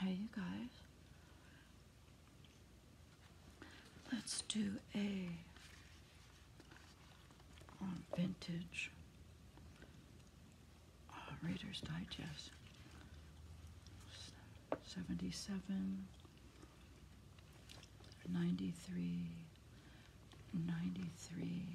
Hey you guys. Let's do a on vintage uh, Reader's Digest 77, 93, 93,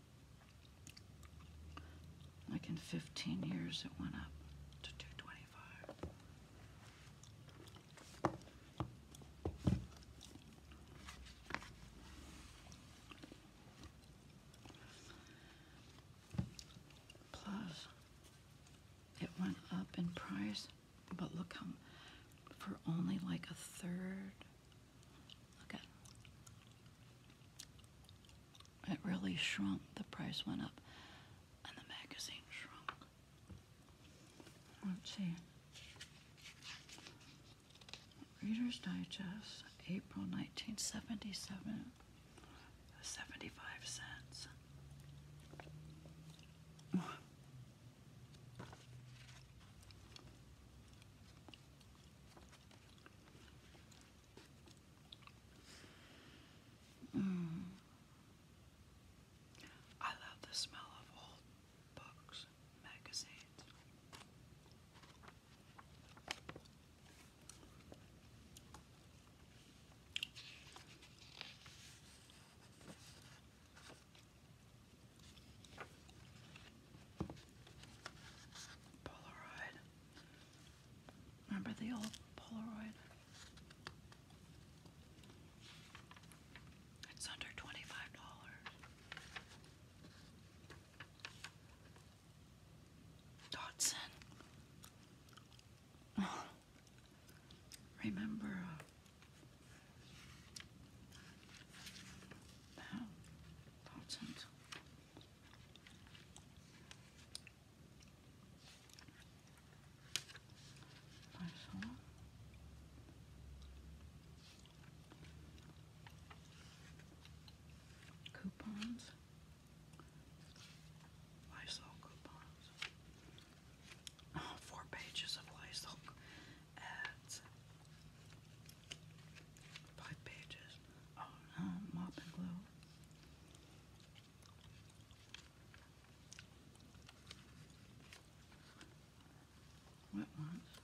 Like in 15 years, it went up to 225. Plus, it went up in price, but look how for only like a third. Look it really shrunk. The price went up and the magazine shrunk. Let's see. Reader's Digest, April 1977, 75 cents. Mm. I love the smell of old books, magazines. Polaroid Remember the old Polaroid? It's under $25. Dodson. Remember uh, Başla. Coupons. Lysol coupons. Oh, four pages of Lysol ads. Five pages oh, no, mop and glue. Wet ones.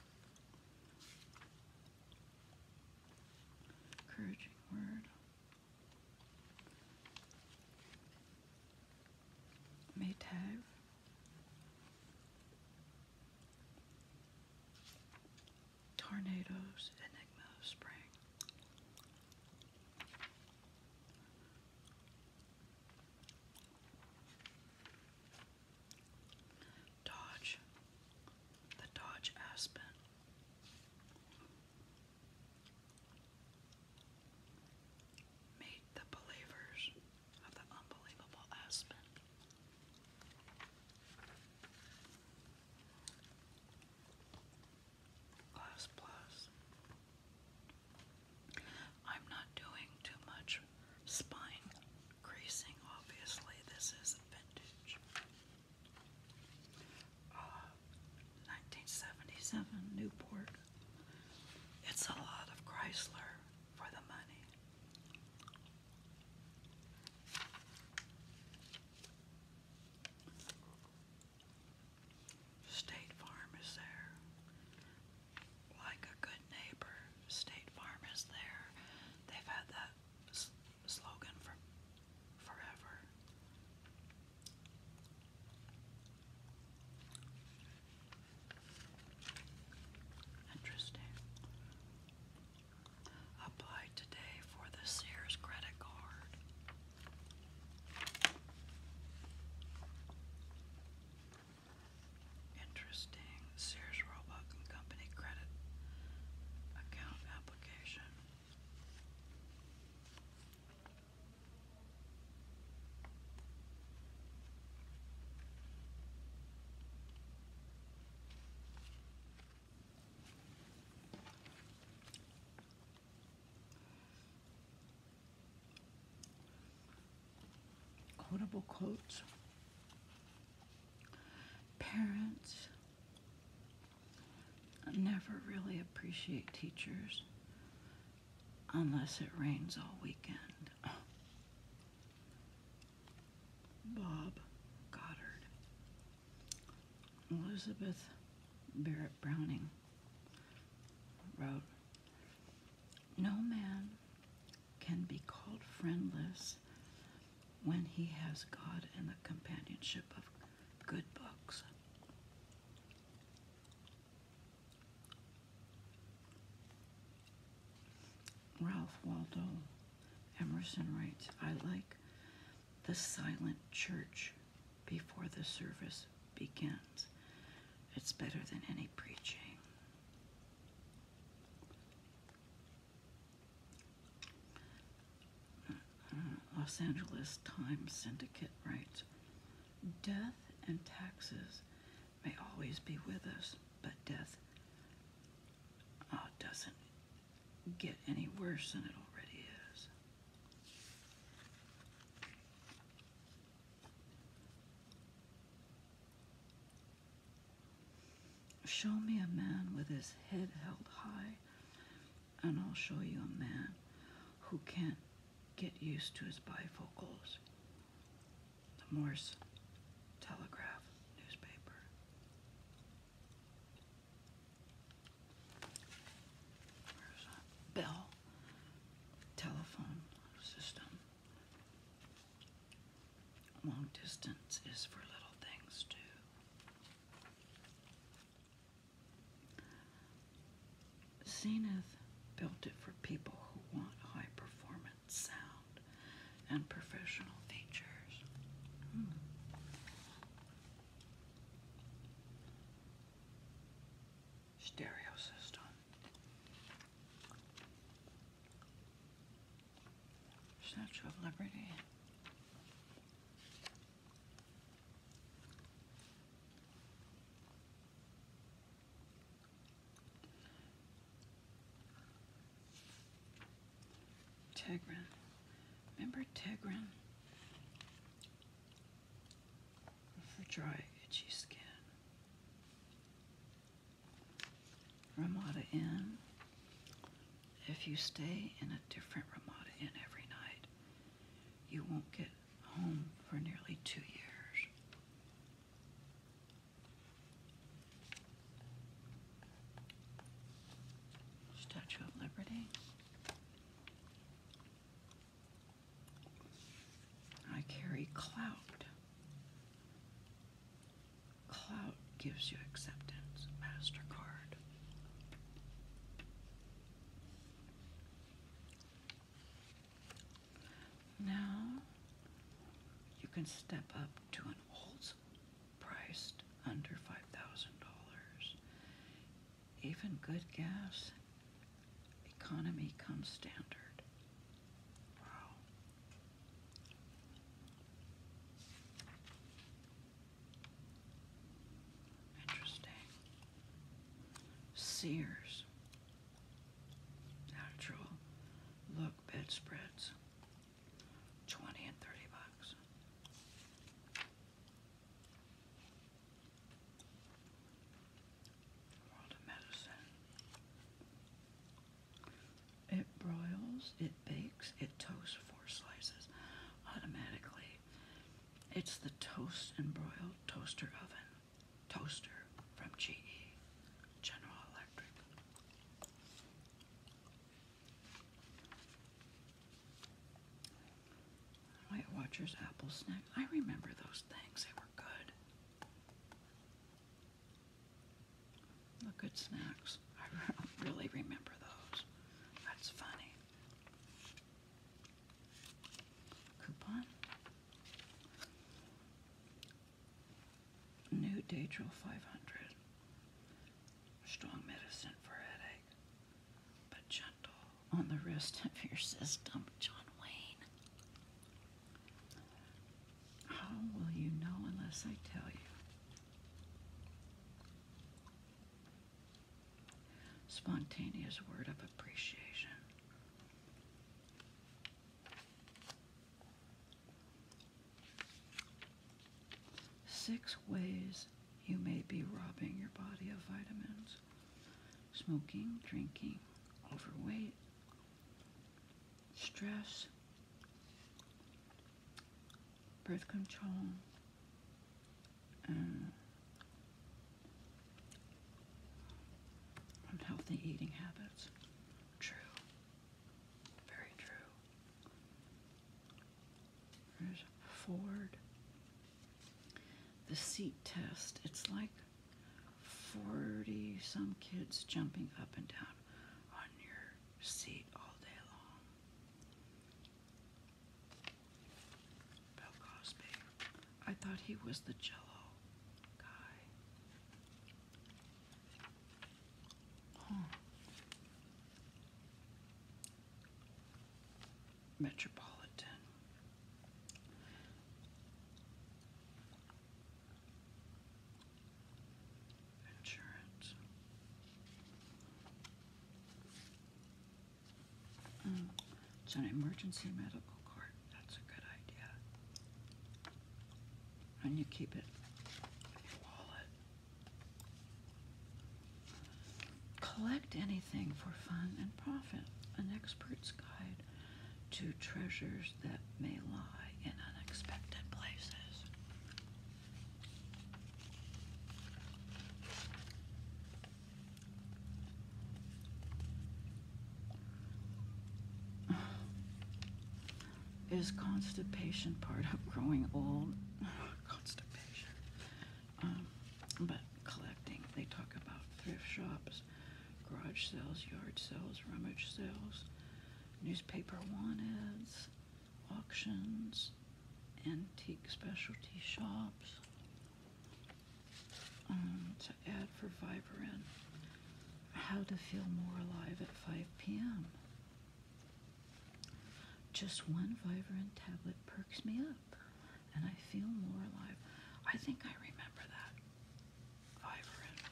Encouraging word. Maytag. Tornadoes, Enigma of Spring. Dodge, the Dodge Aspen. Meet the believers of the unbelievable Aspen. Class Plus. I'm not doing too much spine creasing, obviously, this is a vintage. Uh, 1977 Newport. It's a lot of Chrysler for the money. State Farm is there. Like a good neighbor, State Farm is there. They've had that slogan for forever. Interesting. Apply today for the Sears credit card. Interesting. Sears Roebuck Company credit account application quotable quotes, parents never really appreciate teachers unless it rains all weekend. Bob Goddard. Elizabeth Barrett Browning wrote, No man can be called friendless when he has God and the companionship of good books. Ralph Waldo Emerson writes, I like the silent church before the service begins. It's better than any preaching. Los Angeles Times Syndicate writes, Death and taxes may always be with us, but death Oh, it doesn't get any worse than it already is. Show me a man with his head held high, and I'll show you a man who can't get used to his bifocals. The Morse Telegraph newspaper. Bell telephone system. Long distance is for little things too. Zenith built it for people who want high performance sound and professional features. Hmm stereo system, Statue of Liberty. Tegrin. Remember Tegrin? For dry, itchy skin. Ramada Inn. If you stay in a different Ramada Inn every night, you won't get home for nearly two years. Statue of Liberty. I carry clout. Clout gives you acceptance, MasterCard. Now you can step up to an old priced under $5,000. Even good gas, economy comes standard. Interesting. Sears. Natural. Look, bedspreads. 20 and 30 bucks. World of Medicine. It broils, it bakes, it toasts four slices automatically. It's the toast and broil toaster oven. Toaster from GE. General Electric. White Watchers apple snack. I remember those things. They were good. Look good snacks. I really remember those. That's funny. Coupon. New Daedral 500. Strong medicine for headache, but gentle on the rest of your system, John Wayne. How will you know unless I tell you? Spontaneous word of appreciation. Six ways you may be robbing your body of vitamins smoking, drinking, overweight, stress, birth control, and uh, unhealthy eating habits. True. Very true. Ford. The seat test. It's like 40 some kids jumping up and down on your seat all day long. Bill Cosby. I thought he was the jello guy. Metropolitan. Insurance. Mm, it's an emergency medical card. That's a good idea. And you keep it in your wallet. Collect anything for fun and profit. An expert's guide to treasures that may lie in unexpected places. Is constipation part of growing old? Um, but collecting, they talk about thrift shops, garage sales, yard sales, rummage sales, newspaper ads, auctions, antique specialty shops. Um, to add for Vibrant, how to feel more alive at 5 p.m. Just one Vibrant tablet perks me up, and I feel more alive. I think I remember that. Vibrant.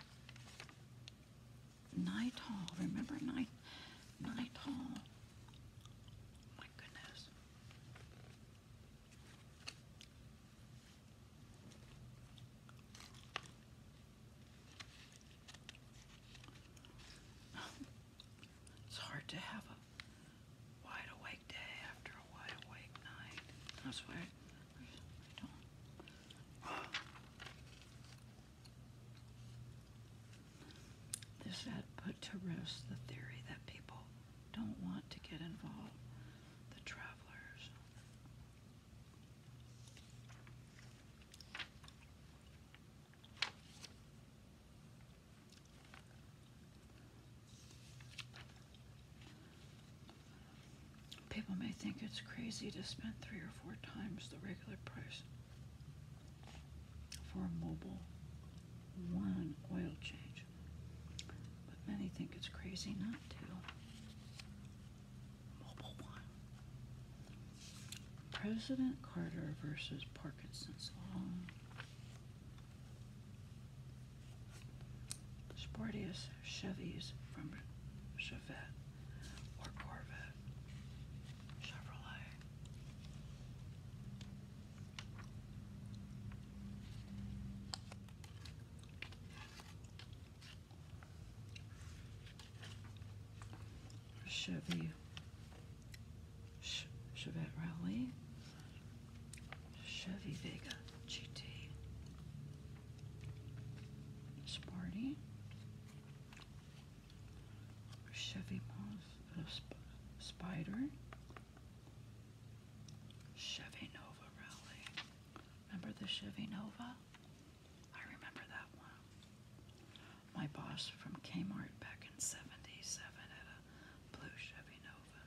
Nitol. Remember Nit Nitol? Oh my goodness. It's hard to have a wide awake day after a wide awake night. That's why I do This ad put to rest the theory that people don't want to get involved. The travelers. People may think it's crazy to spend three or four times the regular price for a mobile one oil change, but many think it's crazy not to. Mobile one President Carter versus Parkinson's Law. Spartius Chevys from Chevette or Corvette. Chevrolet. Chevy Ch Chevette Rally, Chevy Vega GT, Sparty, Chevy Moss, uh, Spider, Chevy Nova Rally. Remember the Chevy Nova? I remember that one my boss from Kmart back in 77 had a blue Chevy Nova.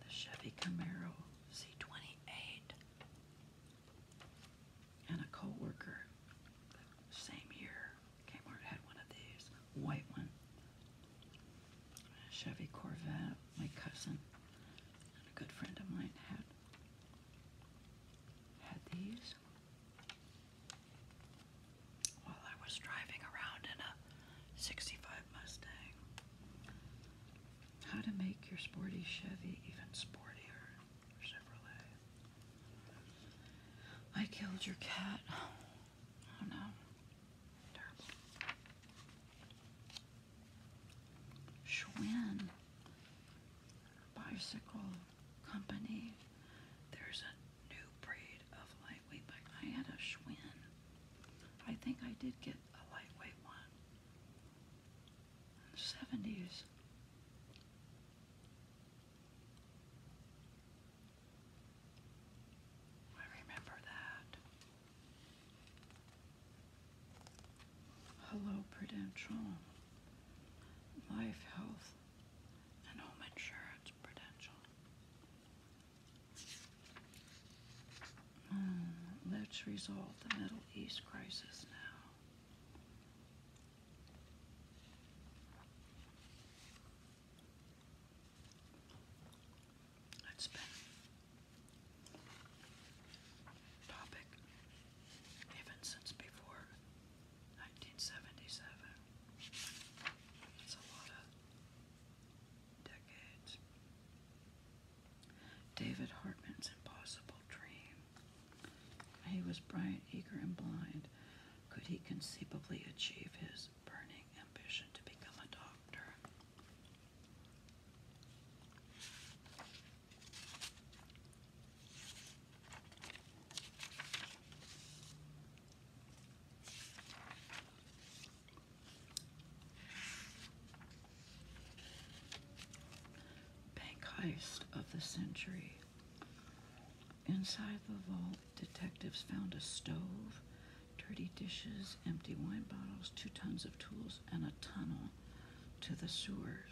The Chevy Camaro C28. And a co-worker, same year, Kmart had one of these, white one. Chevy Corvette, my cousin and a good friend of mine had had these while I was driving around in a 65 Mustang. How to make your sporty Chevy even sportier, Chevrolet. I killed your cat. Oh no. Terrible. Schwinn. Bicycle company. There's a new breed of lightweight, but I had a Schwinn. I think I did get a lightweight one in the 70s. I remember that. Hello, Prudential. Life, health, and home insurance potential. Hmm, let's resolve the Middle East crisis now. It's been topic even since before 1977. David Hartman's impossible dream. He was bright, eager, and blind. Could he conceivably achieve his burning ambition to become a doctor? Bank heist of the century. Inside the vault, detectives found a stove, dirty dishes, empty wine bottles, two tons of tools, and a tunnel to the sewers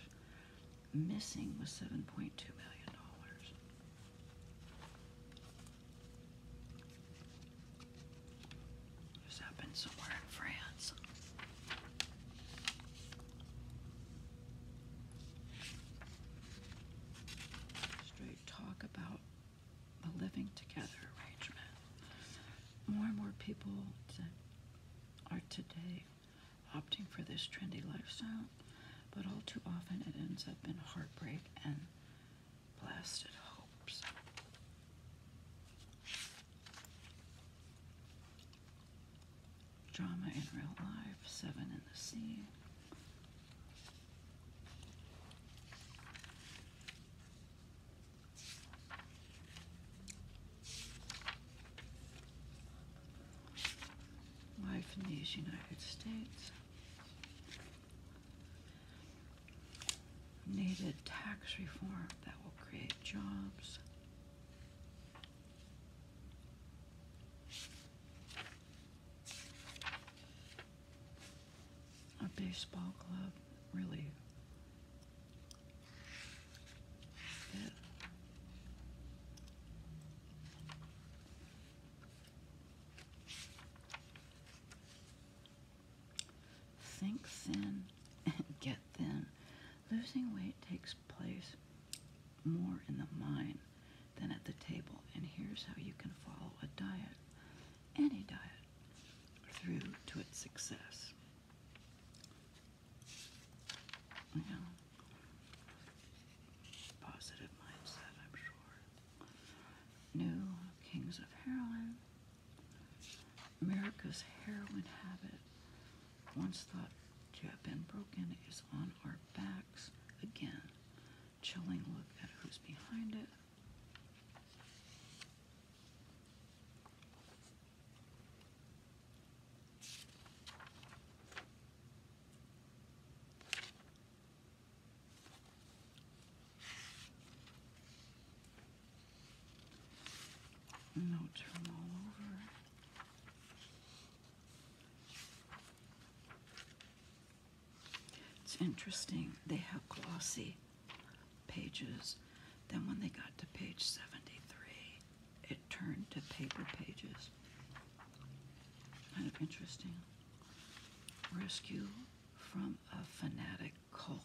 missing was $7.2 million. This happened somewhere in France. Straight talk about a living together arrangement. More and more people are today opting for this trendy lifestyle, but all too often it ends up in heartbreak and blasted hopes. Drama in real life, seven in the sea life in these United States. Needed tax reform that will create jobs. A baseball club really fit. Think thin and get thin. Losing weight takes place more in the mind than at the table, and here's how you can follow a diet, any diet, through to its success. Positive mindset, I'm sure. New Kings of Heroin. America's heroin habit, once thought to have been broken, is on our backs again. Chilling look at who's behind it. Notes from all over. It's interesting, they have glossy pages. Then when they got to page 73, it Turned to paper pages. Kind of interesting. Rescue from a fanatic cult.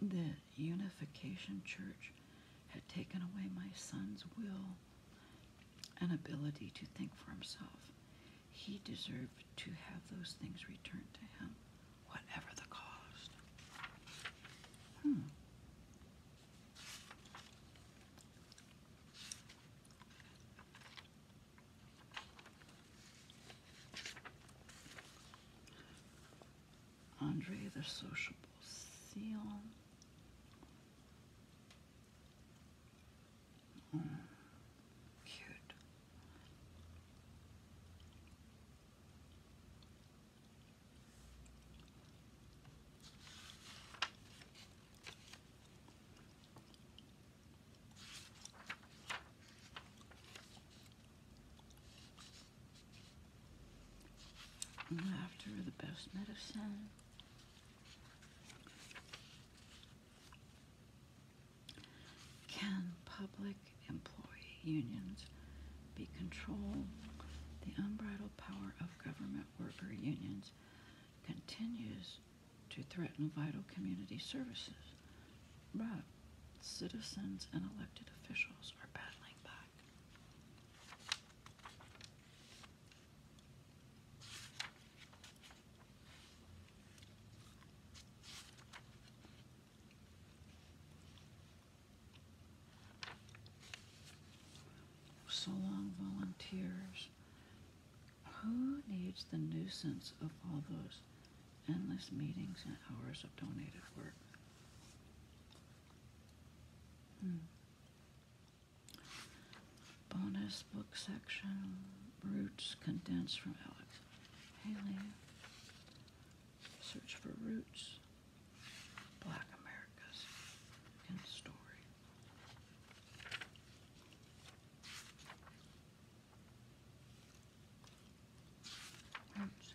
The Unification Church had taken away my son's will and ability to think for himself. He deserved to have those things returned to him, whatever the cost. Hmm. Andre the Sociable Seal. cute. Laughter is the best medicine. Can public employee unions be controlled? The unbridled power of government government worker unions continues to threaten vital community services. But citizens and elected officials are battling back so long volunteers. Who needs the nuisance of all those endless meetings and hours of donated work? Hmm. Bonus book section, Roots Condensed from Alex Haley. Search for Roots. Black America's in story. Oops.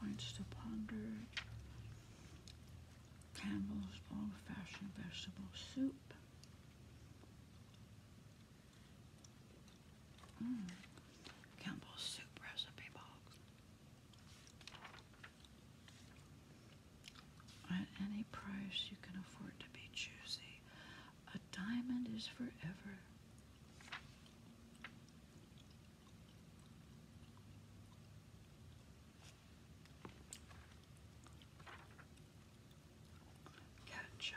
Points to ponder. Campbell's old-fashioned vegetable soup. Mm. Campbell's soup recipe box. At any price, you can afford to be choosy. A diamond is forever. Cat chow,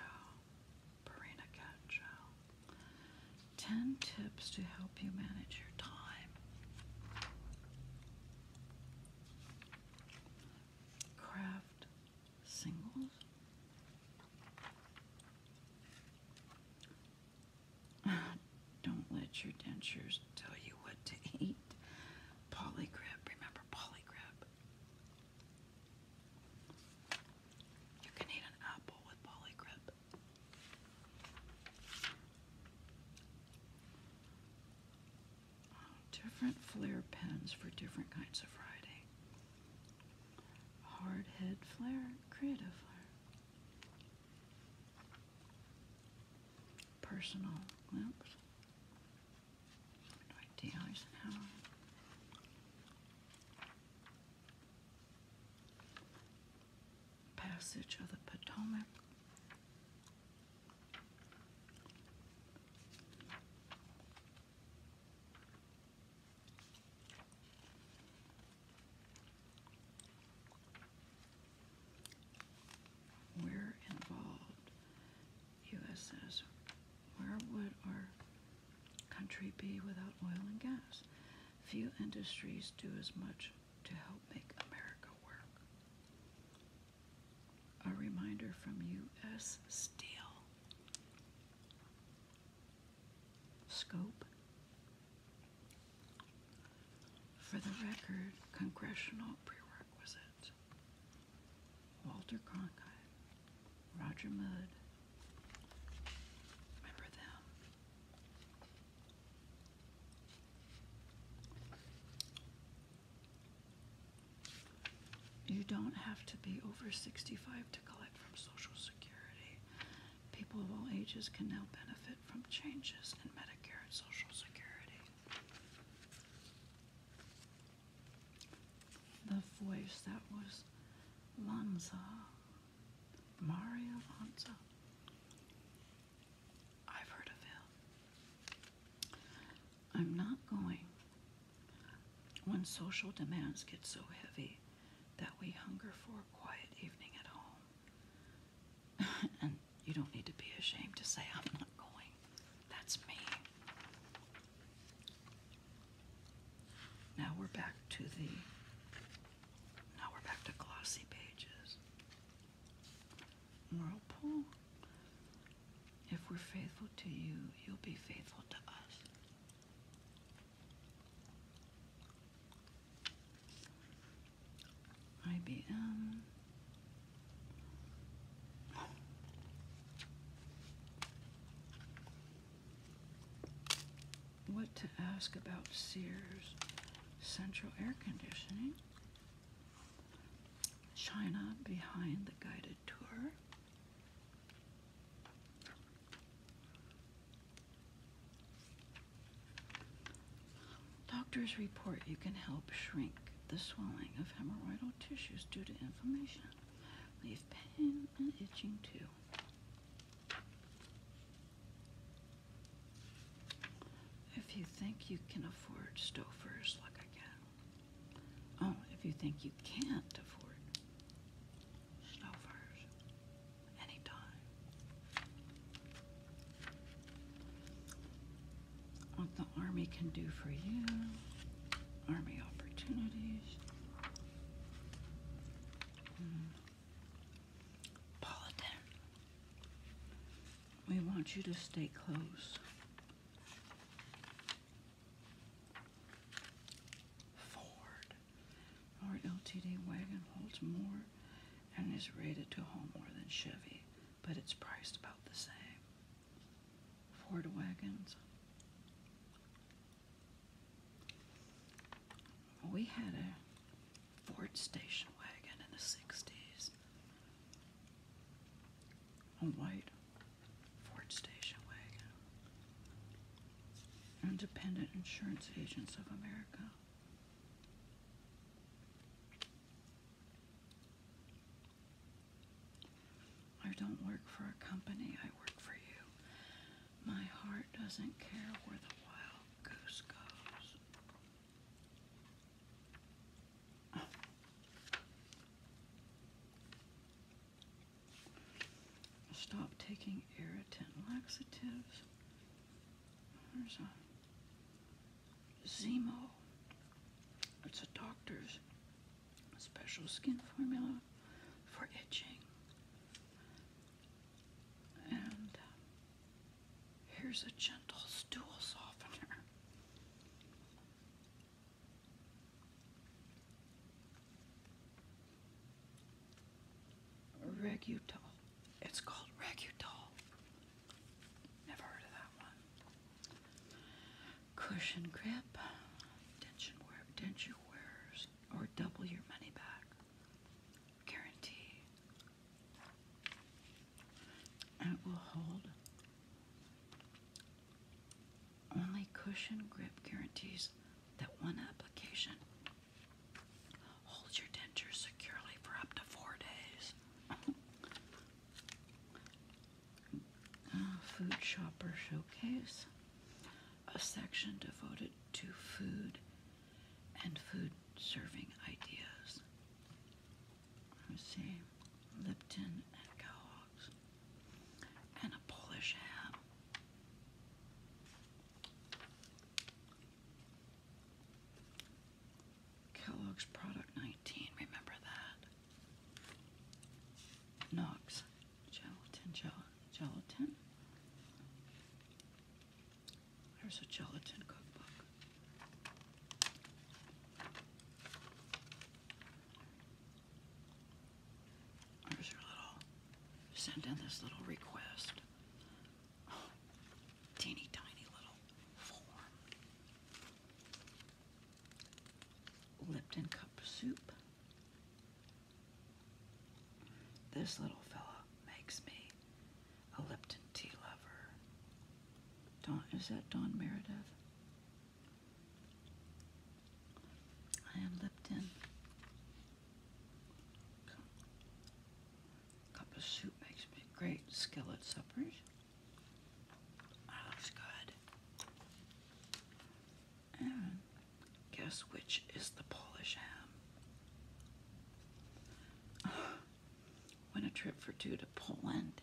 Purina 10 tips to help you manage your time. Craft singles. Don't let your dentures tell you what to eat. Polygrip, remember polygrip. You can eat an apple with polygrip. Oh, different flare pens for different kinds of writing. Hard head flare, creative flare. Personal glimpse. Dwight D. Eisenhower. Passage of the Potomac. We're involved. USS, where would our country be without oil and gas? Few industries do as much to help make America work. A reminder from U.S. Steel. Scope. For the record, congressional prerequisite. Walter Cronkite, Roger Mudd, Remember them? You don't have to be over 65 to collect from Social Security. People of all ages can now benefit from changes in Medicare and Social Security. The voice that was Lanza Mario Alonso. I've heard of him. I'm not going. When social demands get so heavy that we hunger for a quiet evening at home. and you don't need to be ashamed to say, I'm not going. That's me. Now we're back to the now we're back to glossy pages. Whirlpool. If we're faithful to you, you'll be faithful to us. IBM what to ask about Sears central air conditioning, China behind the guided tour. Doctors report you can help shrink the swelling of hemorrhoidal tissues due to inflammation. Leave pain and itching too. If you think you can afford Stouffer's like I can. Oh, if you think you can't afford Stouffer's anytime. What the Army can do for you, Army opportunities. Hmm we want you to stay close. Ford, our LTD wagon holds more and is rated to haul more than Chevy, but it's priced about the same. Ford wagons we had a Ford station wagon in the 60s. A white Ford station wagon. Independent Insurance Agents of America. I don't work for a company, I work for you. My heart doesn't care where the wild goose goes. Stop taking irritant laxatives. There's a Zemo. It's a doctor's special skin formula for itching. And here's a gentle stool softener. Regutol. It's called Regutol. Never heard of that one. Cushion grip. Tension wear, tension wears, or double your money back guarantee. it will hold. Only cushion grip guarantees that one application holds your denture securely for up to four days. food Shopper Showcase, a section devoted to food and food serving ideas. Let me see, Lipton and Kellogg's, and a Polish ham. Kellogg's Product 19, remember that? Knox, gelatin, gel gelatin. There's a gelatin cookbook. send in this little request. teeny tiny little form. Lipton cup soup. This little fella makes me a Lipton tea lover. Don, is that Don Meredith? I am Lipton. Cup of soup makes me great skillet suppers. Oh, that good. Guess which is the Polish ham? Win a trip for two to Poland.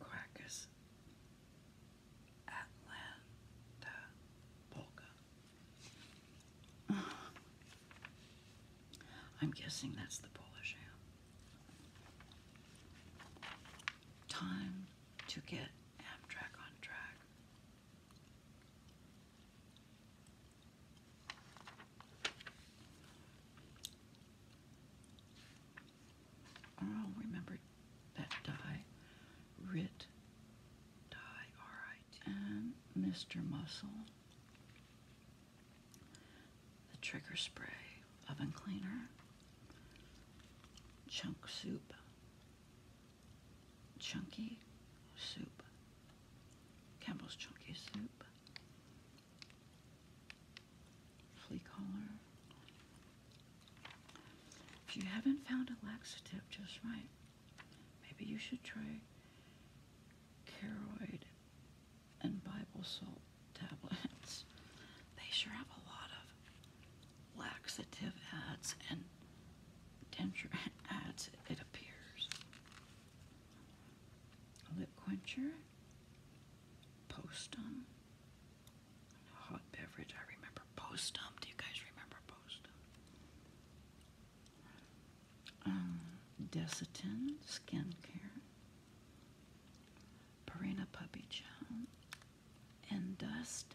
Crackers. Atlanta. Polka. I'm guessing that's the Polish ham. Time to get Amtrak on track. Oh, remember that die, Rit die, R-I-T, and Mr. Muscle, the trigger spray, oven cleaner, chunk soup, chunky soup. Campbell's chunky soup. Flea collar. If you haven't found a laxative just right, maybe you should try Caroid and Bible salt tablets. They sure have a lot of laxative ads and Denture ads. it appears. Lip quencher, postum. Hot beverage, I remember postum. Do you guys remember postum? Um, Desitin, skincare. Purina Puppy chow. And Dust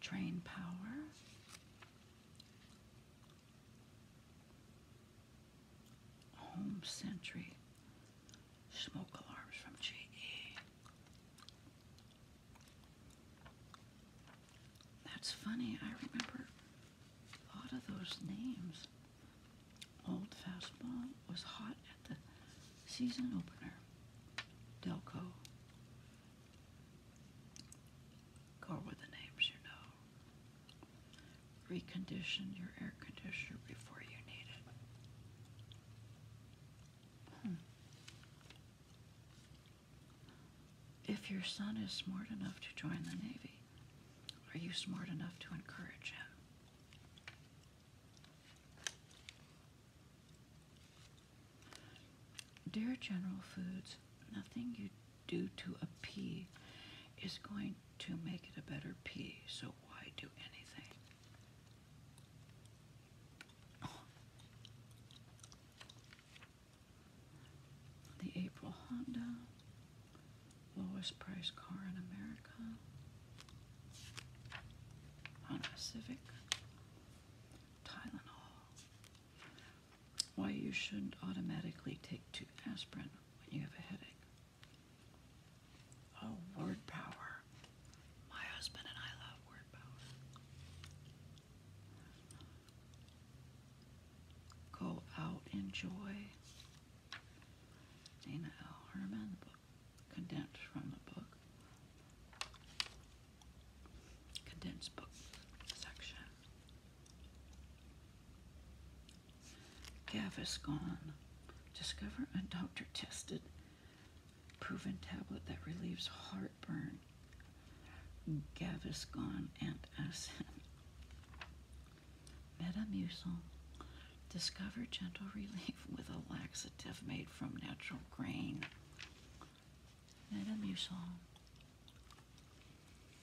Train power. Home Sentry. Smoke alarms from GE. That's funny. I remember a lot of those names. Old fastball was hot at the season opener. Delco. Go with the names you know. Recondition your air conditioner before you need it. Hmm. If your son is smart enough to join the Navy, are you smart enough to encourage him? Dear General Foods, nothing you do to a pea is going to make it a better pea, so why do anything? The April Honda, lowest price car in America. Honda Civic, Tylenol. Why you shouldn't automatically take two aspirin when you have a headache. Oh, word power. My husband and I love word power. Go out, enjoy. Dana L. Herman, book condensed from the book, condensed book section. Gaviscon, discover a doctor tested proven tablet that relieves heartburn. Gaviscon and Asin. Metamucil Discover gentle relief with a laxative made from natural grain. Metamucil.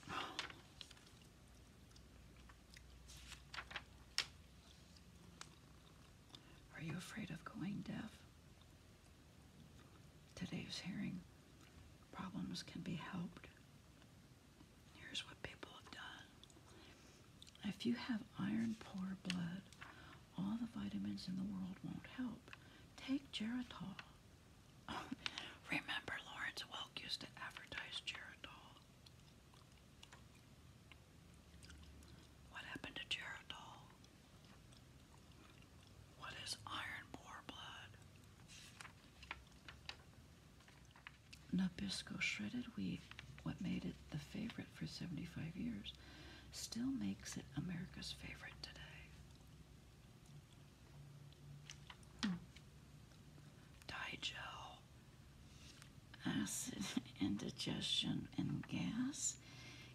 Are you afraid of going deaf? Today's hearing problems can be helped. Here's what people have done if you have iron poor blood, all the vitamins in the world won't help. Take Geritol. remember, Lawrence Welk used to advertise Geritol. What happened to Geritol? What is iron poor blood? Nabisco shredded wheat, what made it the favorite for 75 years, still makes it America's favorite today. Hmm. Digel, acid indigestion, and gas.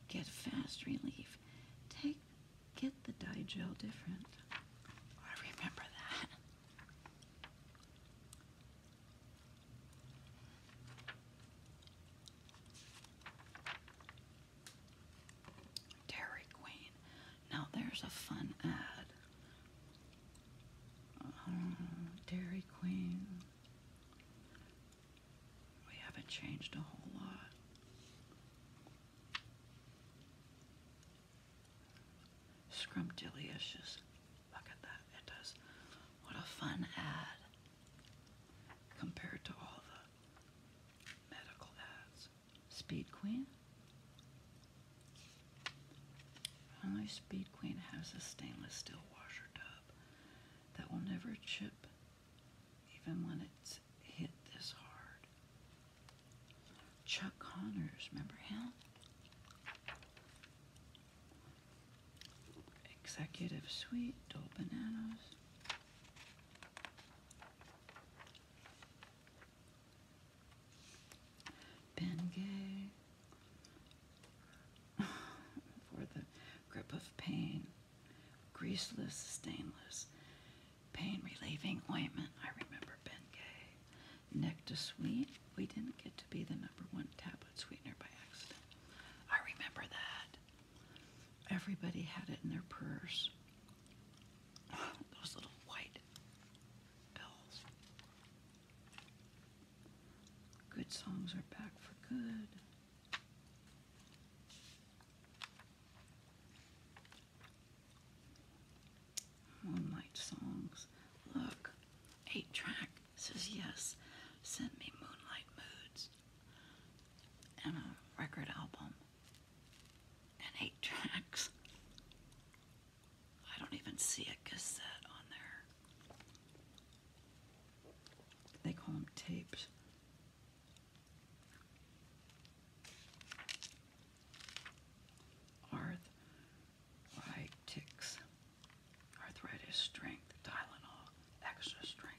Get fast relief. Take, get the Digel different. I remember that. Dairy Queen. Now there's a fun ad. Uh, Dairy Queen. We haven't changed a whole lot. Scrumptious. Look at that. It does. What a fun ad compared to all the medical ads. Speed Queen? Only Speed Queen has a stainless steel washer tub that will never chip even when it's hit this hard. Chuck Connors, remember him? Executive Suite, Dole Bananas. Ben Gay. For the grip of pain. Greaseless, stainless, pain relieving ointment. I remember Ben Gay. Nectar We didn't get to be the number one tablet sweetener by accident. I remember that. Everybody had it in their purse. those little white bells. Good songs are back for good. Moonlight songs. Look, eight track says yes, send me Moonlight Moods and a record album and eight tracks. I don't even see a cassette on there. They call them tapes. Arth like ticks, arthritis, strength, Tylenol, extra strength.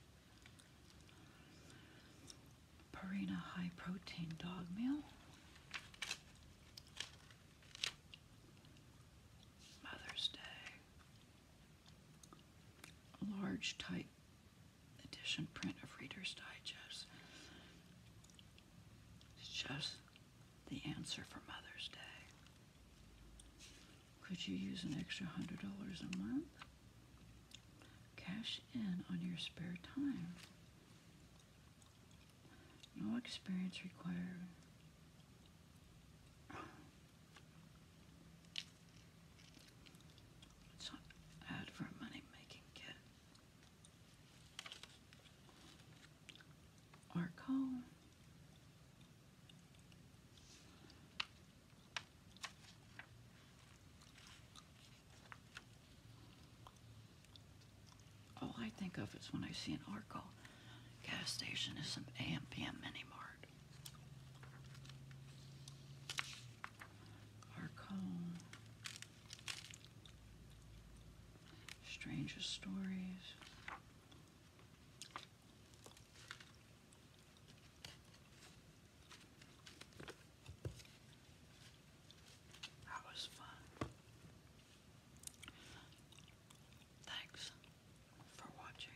Purina high protein dog meal. Mother's Day. Large type edition print of Reader's Digest. It's just the answer for Mother's Day. Could you use an extra $100 a month? Cash in on your spare time. No experience required. It's an ad for a money making kit. Arco. All I think of is when I see an Arco gas station is some AM mini mart. Arco. Strangest stories. That was fun. Thanks for watching.